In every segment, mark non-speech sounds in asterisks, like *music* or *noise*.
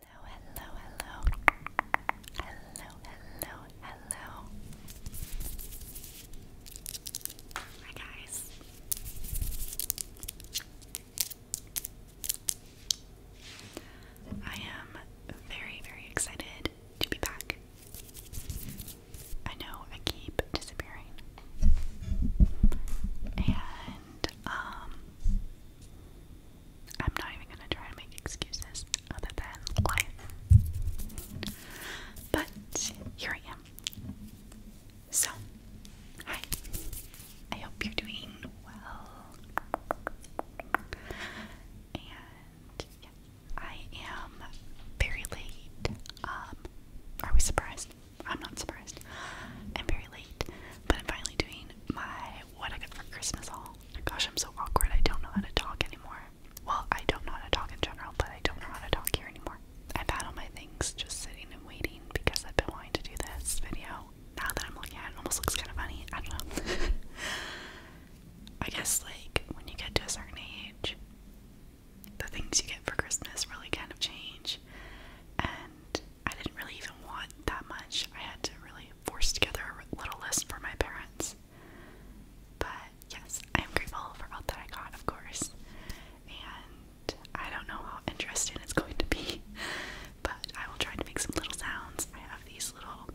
Hello, hello, hello. Hello, hello, hello. Hi, guys. I am very, very excited to be back. I know I keep disappearing. And, um, I'm not even gonna try to make excuses other than life. But here I am. So, hi. I hope you're doing well. And yeah, I am very late. Um, are we surprised? I'm not surprised. I'm very late, but I'm finally doing my what I got for Christmas haul. Gosh, I'm so awkward. I don't know how to talk anymore. Well, I don't know how to talk in general, but I don't know how to talk here anymore. I've had all my things just sitting and waiting because I've been wanting to do this video. Now that I'm looking at it, it almost looks kind of funny. I don't know. *laughs* I guess, like, when you get to a certain age, the things you get for Christmas really kind of change. And I didn't really even want that much. I had to really forced together a little list for my parents. But yes, I'm grateful for all that I got, of course. And I don't know how interesting it's going to be, *laughs* but I will try to make some little sounds. I have these little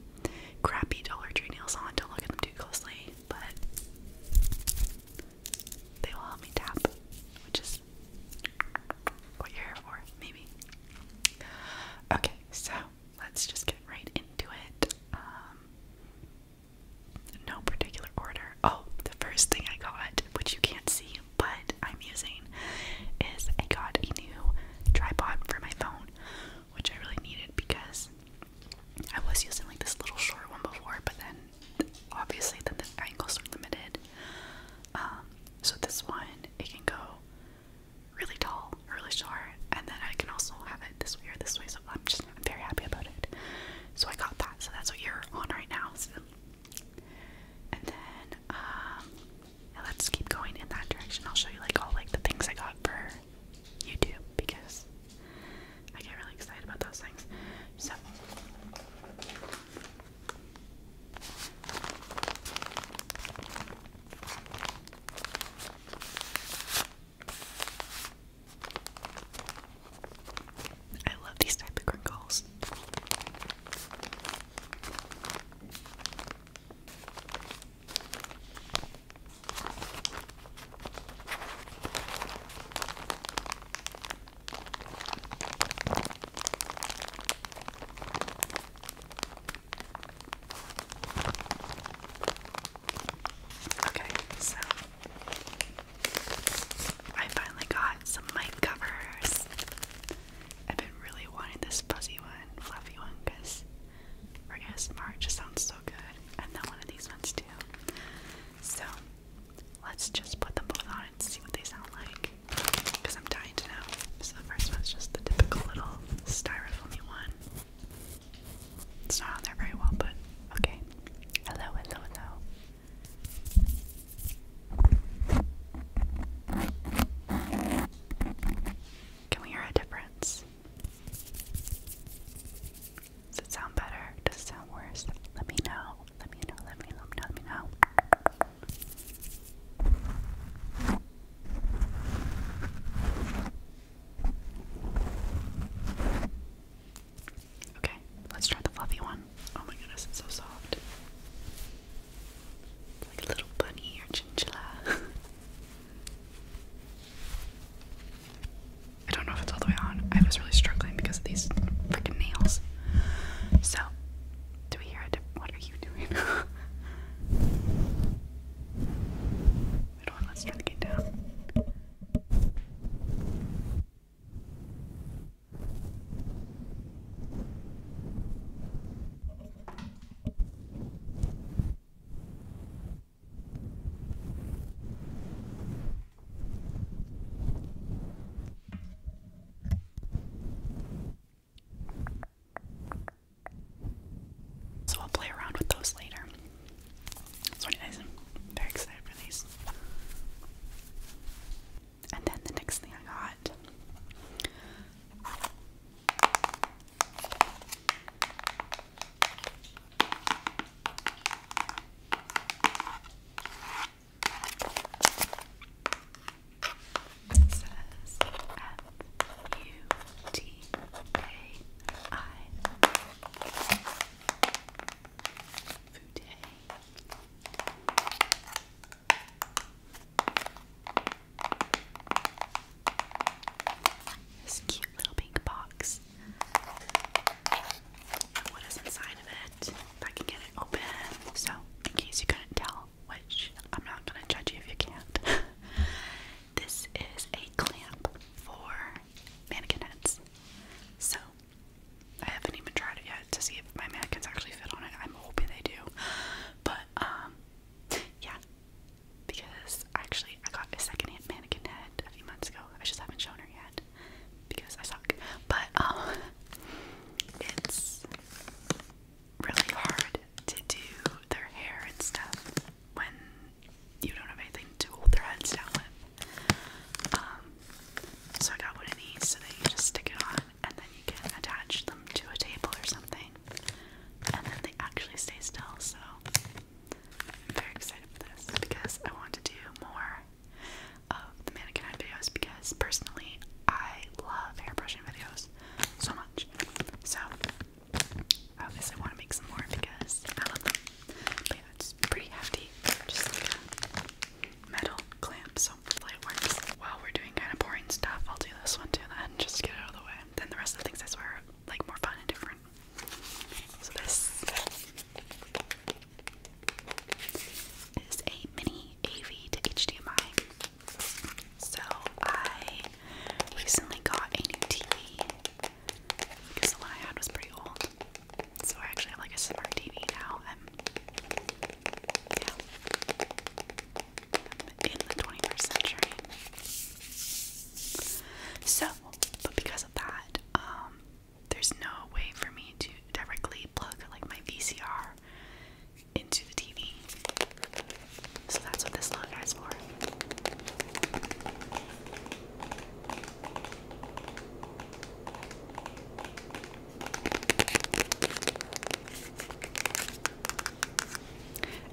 crappy Dollar Tree nails on, don't look at them too closely, but they will help me tap, which is what you're for, maybe. Okay, so let's just get right into it. Um, no particular order. Oh, the first thing I got, which you can't see, but I'm using, is I got a new tripod for my phone, which I really needed because I was using like this little short one before, but then obviously then the angles are limited. Um, so this one, it can go really tall, really short, and then I can also have it this way or this way. So I'm just I'm very happy about it. So I got that. So that's what you're on right now. So. And then um, let's keep going in that direction. I'll show you like all like the things I got for YouTube because I get really excited about those things. So I love these type of crinkles. Okay, so I finally got some mic covers. I've been really wanting this fuzzy one, fluffy one, because we're going just sounds so good. And then one of these ones too. So let's just put them both on and see what they sound like because I'm dying to know. So the first one's just the typical little styrofoamy one. It's not on there very well, but okay. Hello, hello, hello. Can we hear a difference? Does it sound better? Does it sound worse? Let me know. Let me know. Let me know. Let me know. Let me know. Okay, let's try the fluffy one. Oh my goodness, it's so soft. like a little bunny or chinchilla. *laughs* I don't know if it's all the way on. I was really struggling because of these freaking nails. So, do we hear a What are you doing? Wait *laughs* on, let's try to get down. So I'll play around with those later. So anyways, i very excited for these. And then the next thing I got it This cute little pink box. What is inside of it? If I can get it open. So, in case you couldn't tell, which I'm not gonna judge you if you can't. *laughs* this is a clamp for mannequin heads. So I haven't even tried it yet to see if my mannequins actually fit on it. I'm hoping they do. But um yeah. Because actually I got a second hand mannequin head a few months ago. I just haven't shown her yet because I suck. But um *laughs* it's really hard to do their hair and stuff when you don't have anything to hold their heads down with. Um, so I got one of these so that you just stick it on and then you can attach them to a table or something. And then they actually stay still, so I'm very excited for this because I want to do more of the mannequin videos because personally I love hair brushing videos so much much. So, I obviously want to make some more because I love them. yeah, it's pretty hefty. Just like a metal clamp, so hopefully it works. While we're doing kind of boring stuff, I'll do this one too then, just get out of the way. Then the rest of the things I swear are like more fun and different. So this is a mini AV to HDMI. So I recently got a new TV because the one I had was pretty old. So I actually have like a smart TV now. I'm in the 21st century. So, but because of that, um, there's no way for me to directly plug like my VCR into the TV. So that's what this long guy's for.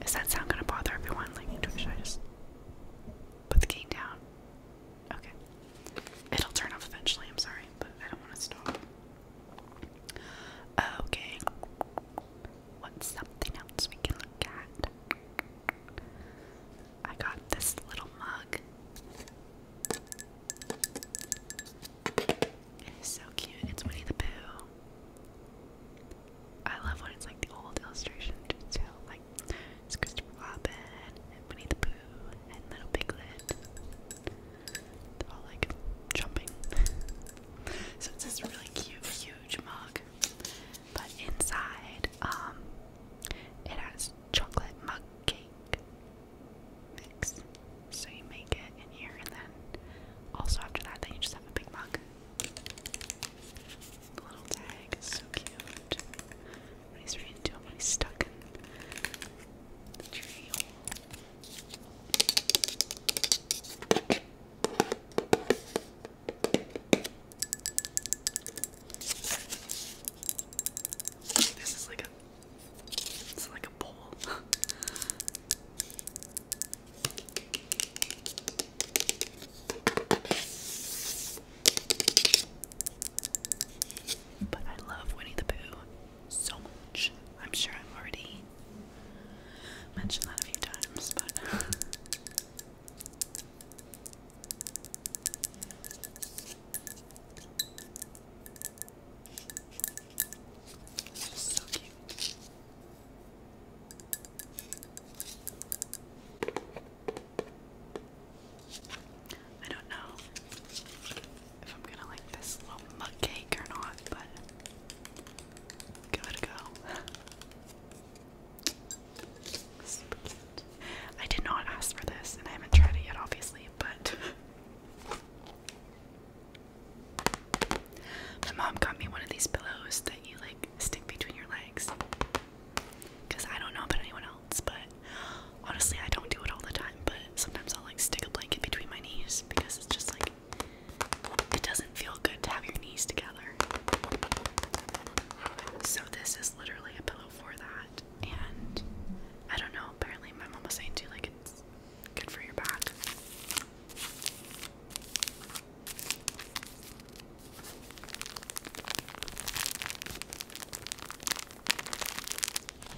Is that sound gonna bother everyone? Like, should I just put the game down? Okay. It'll turn off eventually, I'm sorry, but I don't want to stop. Okay. What's something else we can look at? I got this little mug. It is so cute. It's Winnie the Pooh. I love when it's like the old illustration Like it's Christopher Robin Winnie the Pooh and Little Piglet. They're all like jumping. *laughs* so it's this really cute, huge mug. But inside, um, it has chocolate mug cake mix. So you make it in here, and then also after that, then you just have a big mug. The little tag so cute. When he's reading to him, when he's stuck in the tree this is like a it's like a bowl. *laughs* but I love Winnie the Pooh so much. I'm sure I've already mentioned that a few times, but *laughs* I don't know if I'm gonna like this mug cake or not, but give it a go. *laughs* I did not ask for this, and I haven't tried it yet, obviously, but *laughs* my mom got me one of these pillows that you like stick between your legs. Because I don't know about anyone else, but honestly, I don't do it all the time. But sometimes I'll like stick a blanket between my knees because it's just like it doesn't feel good to have your knees together. So, this is literally a pillow for that. And I don't know, apparently, my mom was saying too, like, it's good for your back.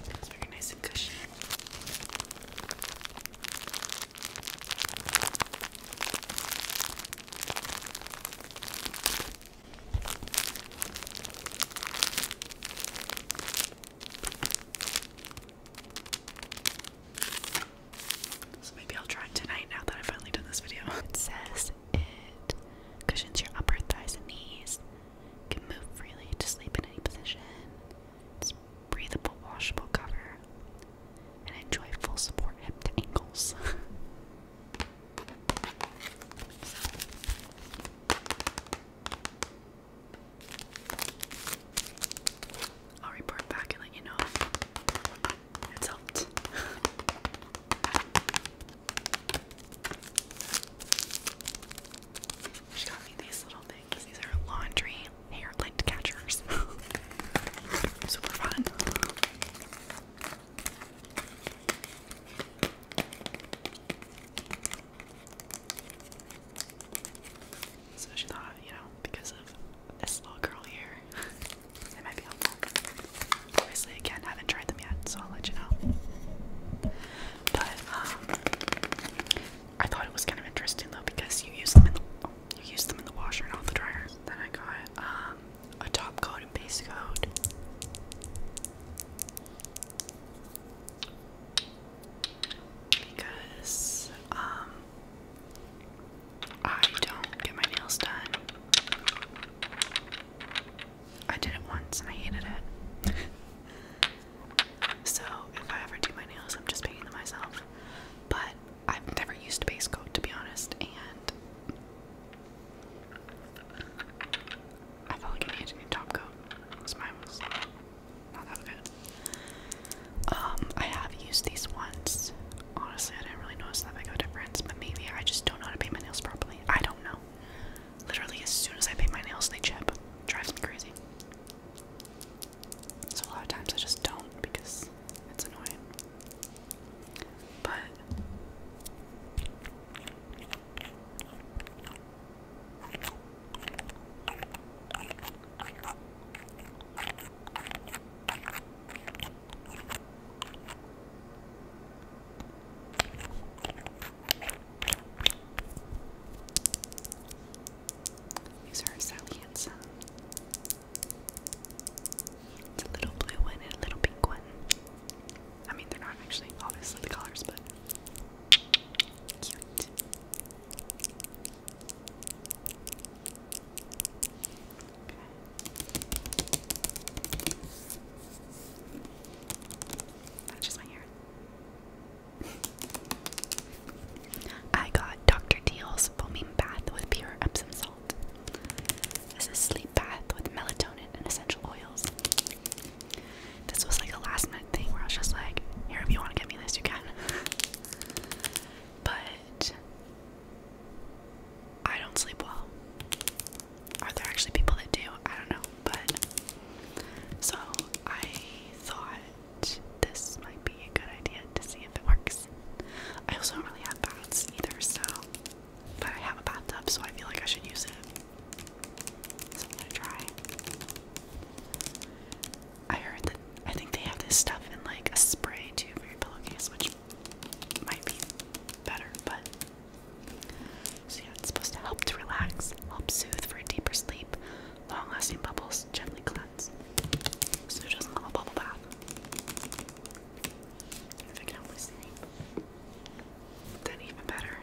It's very nice and cushy. So maybe I'll try it tonight now that I've finally done this video. *laughs* It says it cushions your upper thighs and knees. can move freely to sleep in any position breathable, washable cover, and enjoy full support hip to ankles. *laughs* I'll report back and let you know if it's helped. *laughs* she got me these little things because these are laundry hair lint catchers. *laughs* Super fun. So she thought, you know, because of this little girl here, *laughs* it might be helpful. Obviously, again, haven't tried them yet, so I'll let you know. But um, I thought it was kind of interesting though because you use them in the you use them in the washer and all the dryers. Then I got um, a top coat and base coat. Because um I don't get my nails done. I did it once and I hated it. *laughs* So if I ever do my nails, I'm just painting them myself. But I've never used base coat to be honest, and I felt like I needed a new top coat because mine was not that good. Um, I have used these once. Honestly, I didn't really notice that big of a difference, but maybe I just don't know how to paint my nails properly. I don't know. Literally, as soon as I paint my nails, they chip. Drives me crazy. So a lot of times I just don't because it's annoying. But these are so It's a little blue one and a little pink one. I mean, they're not actually obviously the colors, but cute. Okay. That's just my hair. I got Dr. Deal's foaming bath with pure Epsom salt. This is sleep bath with melatonin and essential oils. This was like a last minute thing where I was just like, here, if you want to get me this, you can. but I don't sleep well. Are there actually people that do? I don't know. But so I thought this might be a good idea to see if it works. I also don't really have baths either, so but I have a bathtub, so I feel like I should use it. So I'm gonna try. I heard that I think they have this stuff in like a spray too for your pillowcase, which might be better, but so yeah, it's supposed to help to relax, help soothe for a deeper sleep, long-lasting bubbles gently cleanse. So who does a bubble bath? If I can only sleep, then even better.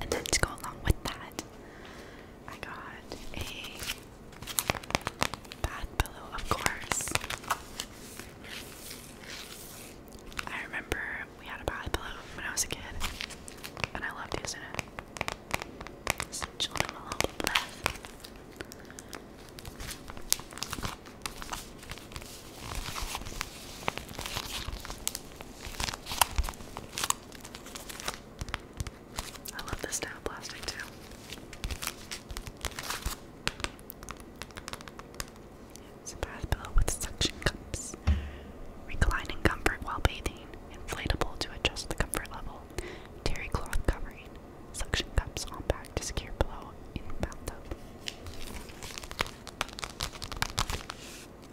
And then to go along with that, I got a bath pillow, of course. I remember we had a bath pillow when I was a kid, and I loved using it. Some children will love I love this style plastic too. It's a with suction cups. Recline in comfort while bathing. Inflatable to adjust the comfort level. Terry cloth covering. Suction cups on back to secure pillow in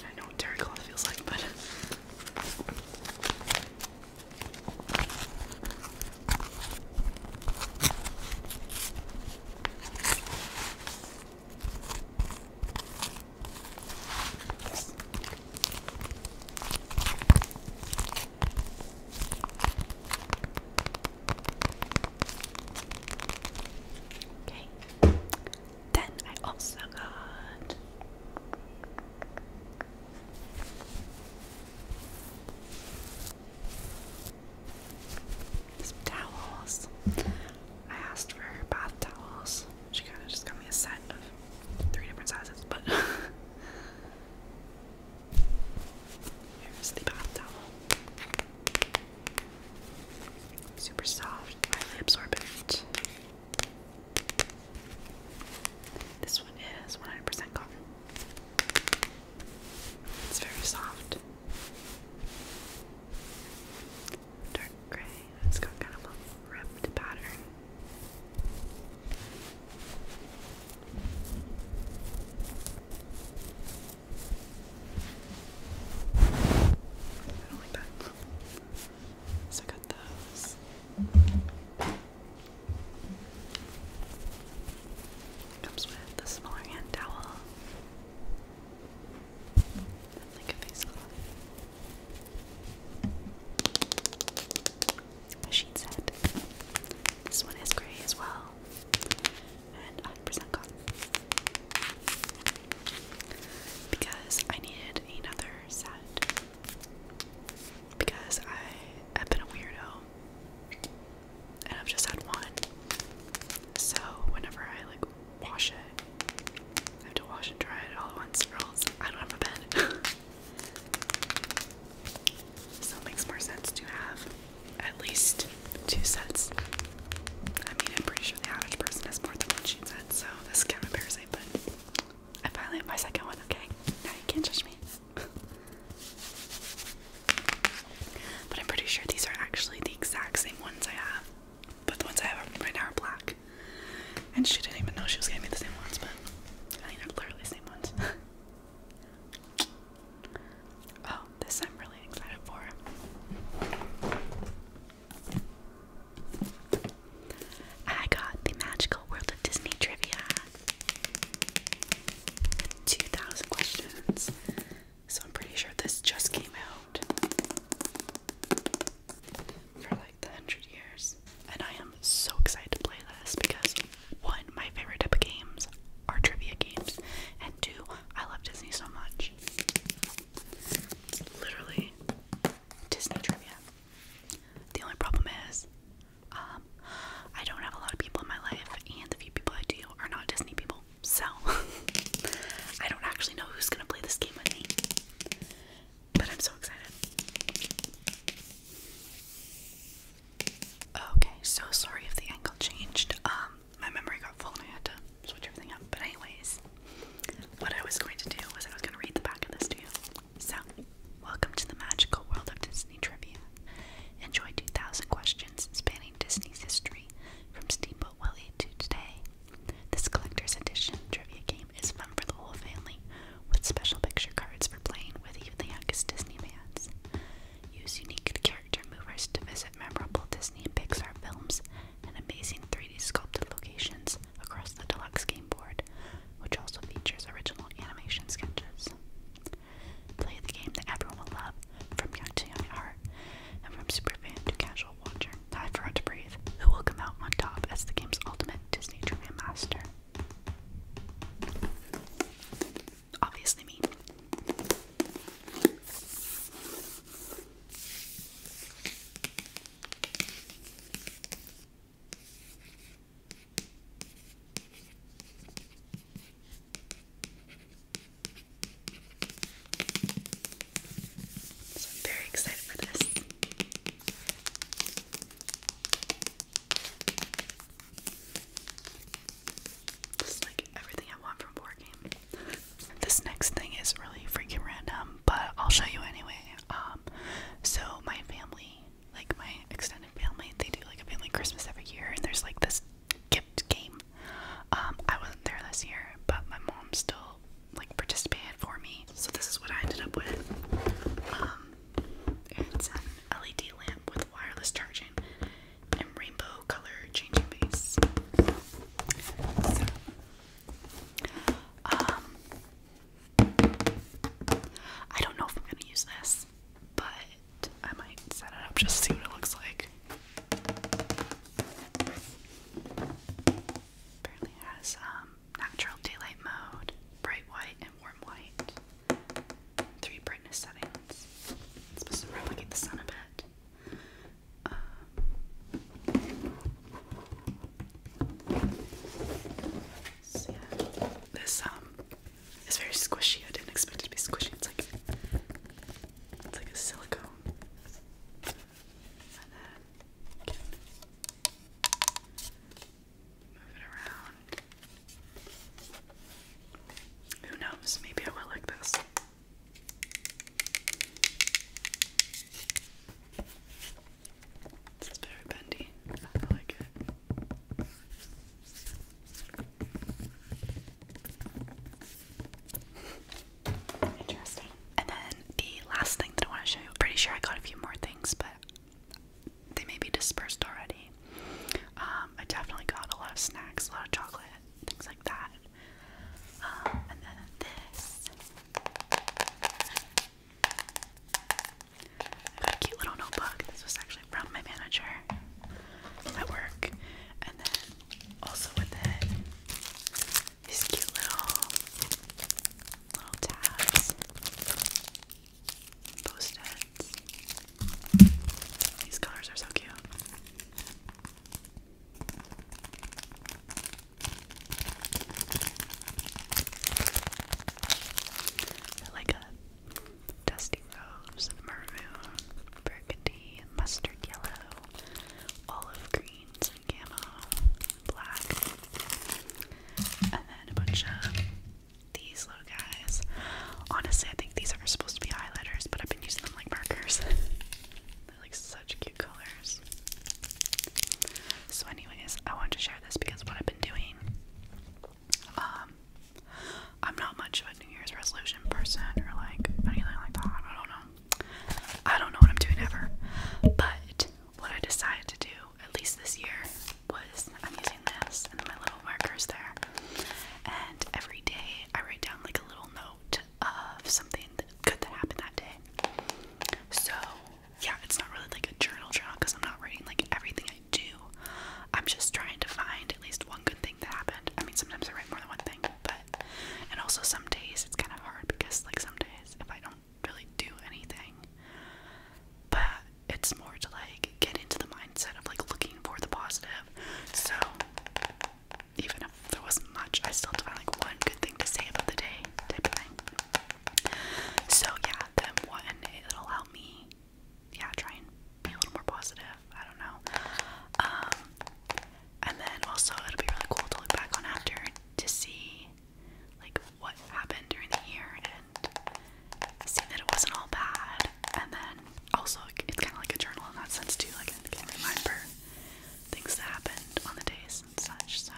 I know what terry cloth feels like, but Okay. Then I also got some towels. I asked for bath towels. She kind of just got me a set of three different sizes, but *laughs* here's the bath towel. Super soft, highly absorbent. This one is 100% cotton. It's very soft. Dark gray. It's got kind of a ripped pattern. I don't like that. So I got those. Comes with the smaller hand towel. And like a face cloth. set. This one is gray as well and 100% cotton. Because I needed another set. Because I have been a weirdo and I've just had one. So whenever I like wash it, I have to wash and dry it all at once or I don't have a bed. *laughs* so it makes more sense to have at least two sets. I mean, I'm pretty sure the average person has more than one sheet set, so this is kind of embarrassing, but I finally have my second one, okay? Now you can't judge me. but I'm pretty sure these are actually the exact same ones I have, but the ones I have right now are black. And she didn't even know she was gonna be the same ones, but I think they're literally the same ones. *laughs* oh, this I'm really excited for. I got the Magical World of Disney Trivia. 2,000 questions. So I'm pretty sure this just came out for like the hundred years. And I am so excited to play this because one, my favorite type of games are trivia games, and two, I love Disney so much. It's literally Disney trivia. The only problem is, um, I don't have a lot of people in my life, and the few people I do are not Disney people. So *laughs* I don't actually know who's gonna play this game with me. But I'm so excited. Okay, so sorry if the angle changed. Um my memory got full and I had to switch everything up. But anyways, what I was going to do was I was going to read the back of this to you. So, welcome to the magical world of Disney trivia. Enjoy 2,000 questions spanning Disney's history from Steamboat Willie to today. This collector's edition trivia game is fun for the whole family, with special picture cards for playing with even the youngest Disney fans. Use unique character movers to visit memorable Disney and Pixar films and amazing 3D sculpted locations across the deluxe game board, which also features original animation sketches. Play the game that everyone will love, from young to young at heart, and from superfan to casual watcher. I forgot to breathe. Who will come out on top as the game's ultimate Disney trivia master? Obviously me. So I'm very excited for this. This like everything I want from board game. *laughs* this next thing is really freaking random, but I'll show you anyway. Um, so my family, like my extended family, they do like a family Christmas every year, and there's like this gift game. Um, I wasn't there this year, but my mom still like participated for me. So this is what I ended up with. Um, it's an LED lamp with wireless charging and rainbow color changing base. Um, I don't know if I'm gonna use this, but I might set it up just to see what it looks like. Apparently, has um, natural daylight mode, bright white, and warm white. Three brightness settings. It's supposed to replicate the sun a bit yeah. This um is very squishy. I didn't expect it to be squishy. It's like it's like a silicone. And then move it around. Who knows? Maybe I will like this. This is very bendy. I like it. Interesting. And then the last thing that I want to show you, I'm pretty sure I got a few more things, but they may be dispersed already. Um, I definitely got a lot of snacks, a lot of chocolate things like that. Um, and then this. a cute little notebook. This was actually from my manager at work. And then also with it, these cute little little tabs. Post-its. These colors are so cute like a dusty rose, maroon, burgundy, mustard yellow, olive greens, and black, and then a bunch of these little guys. Honestly, I think these are supposed to be highlighters, but I've been using them like markers. *laughs* like such cute colors. So, anyways, I wanted to share this because what I've been doing. Um, I'm not much of a New Year's resolution person or like anything like that. I don't know. I don't know what I'm doing ever. But what I decided to do, at least this year, was I'm using this and my little markers there. And every day I write down like a little note of something good that happened that day. So, yeah, it's not really like a journal journal because I'm not writing like everything I do. I'm just trying to find at least one good thing that happened. I mean, sometimes I write more than one thing, but and also some days it's kind of hard because like some days if I don't really do anything, but it's more to like get into the mindset of like looking for the positive. So even if there wasn't much, I still had find like one good thing to say about the day type of thing. So yeah, then one it'll help me yeah, try and be a little more positive. I don't know. Um and then also it'll be really cool to look back on after to see like what happened during the year and see that it wasn't all bad. And then also it's kinda like a journal in that sense too, like I can things that happened on the days and such. So,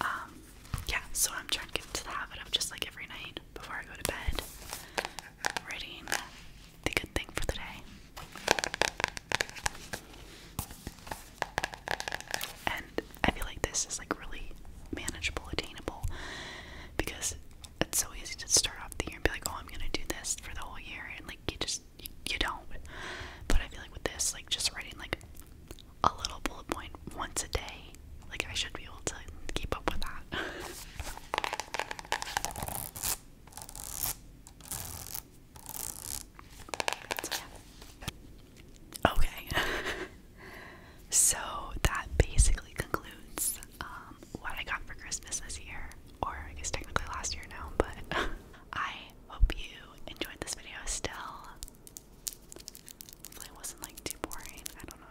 um, yeah, so I'm trying to get into the habit of just like every night before I go to bed, writing the good thing for the day. And I feel like this is like really manageable, attainable because it's so easy to start off the year and be like, oh, I'm gonna do this for the whole year, and like you just you, don't. But I feel like with this, like just writing like a little bullet point once a day, like I should be able to keep up with that. so, *laughs* Okay. so that basically concludes um, what I got for Christmas this year, or I guess technically last year now, but *laughs* I hope you enjoyed this video still. Hopefully it wasn't like too boring. I don't know.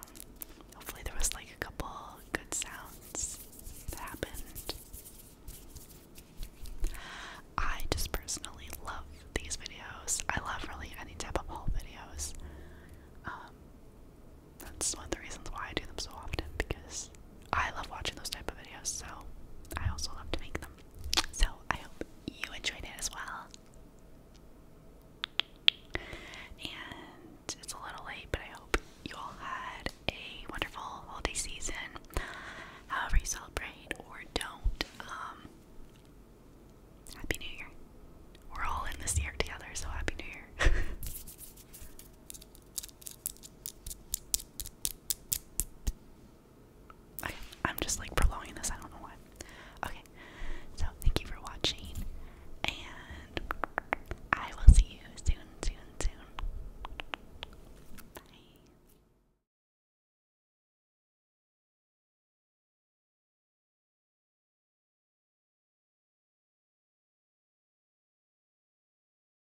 Hopefully there was like a couple good sounds that happened. I just personally love these videos. I love really any type of haul videos. Um, that's one of the reasons why I do them so often because I love watching those type of videos, so I also love to make them. So I hope you enjoyed it as well. And it's a little late, but I hope you all had a wonderful holiday season, however you celebrate or don't. Um, happy New Year. We're all in this year together, so happy New Year. *laughs* Okay, I'm just like prolonging this, I don't know why. Okay, so thank you for watching, and I will see you soon, soon, soon. Bye.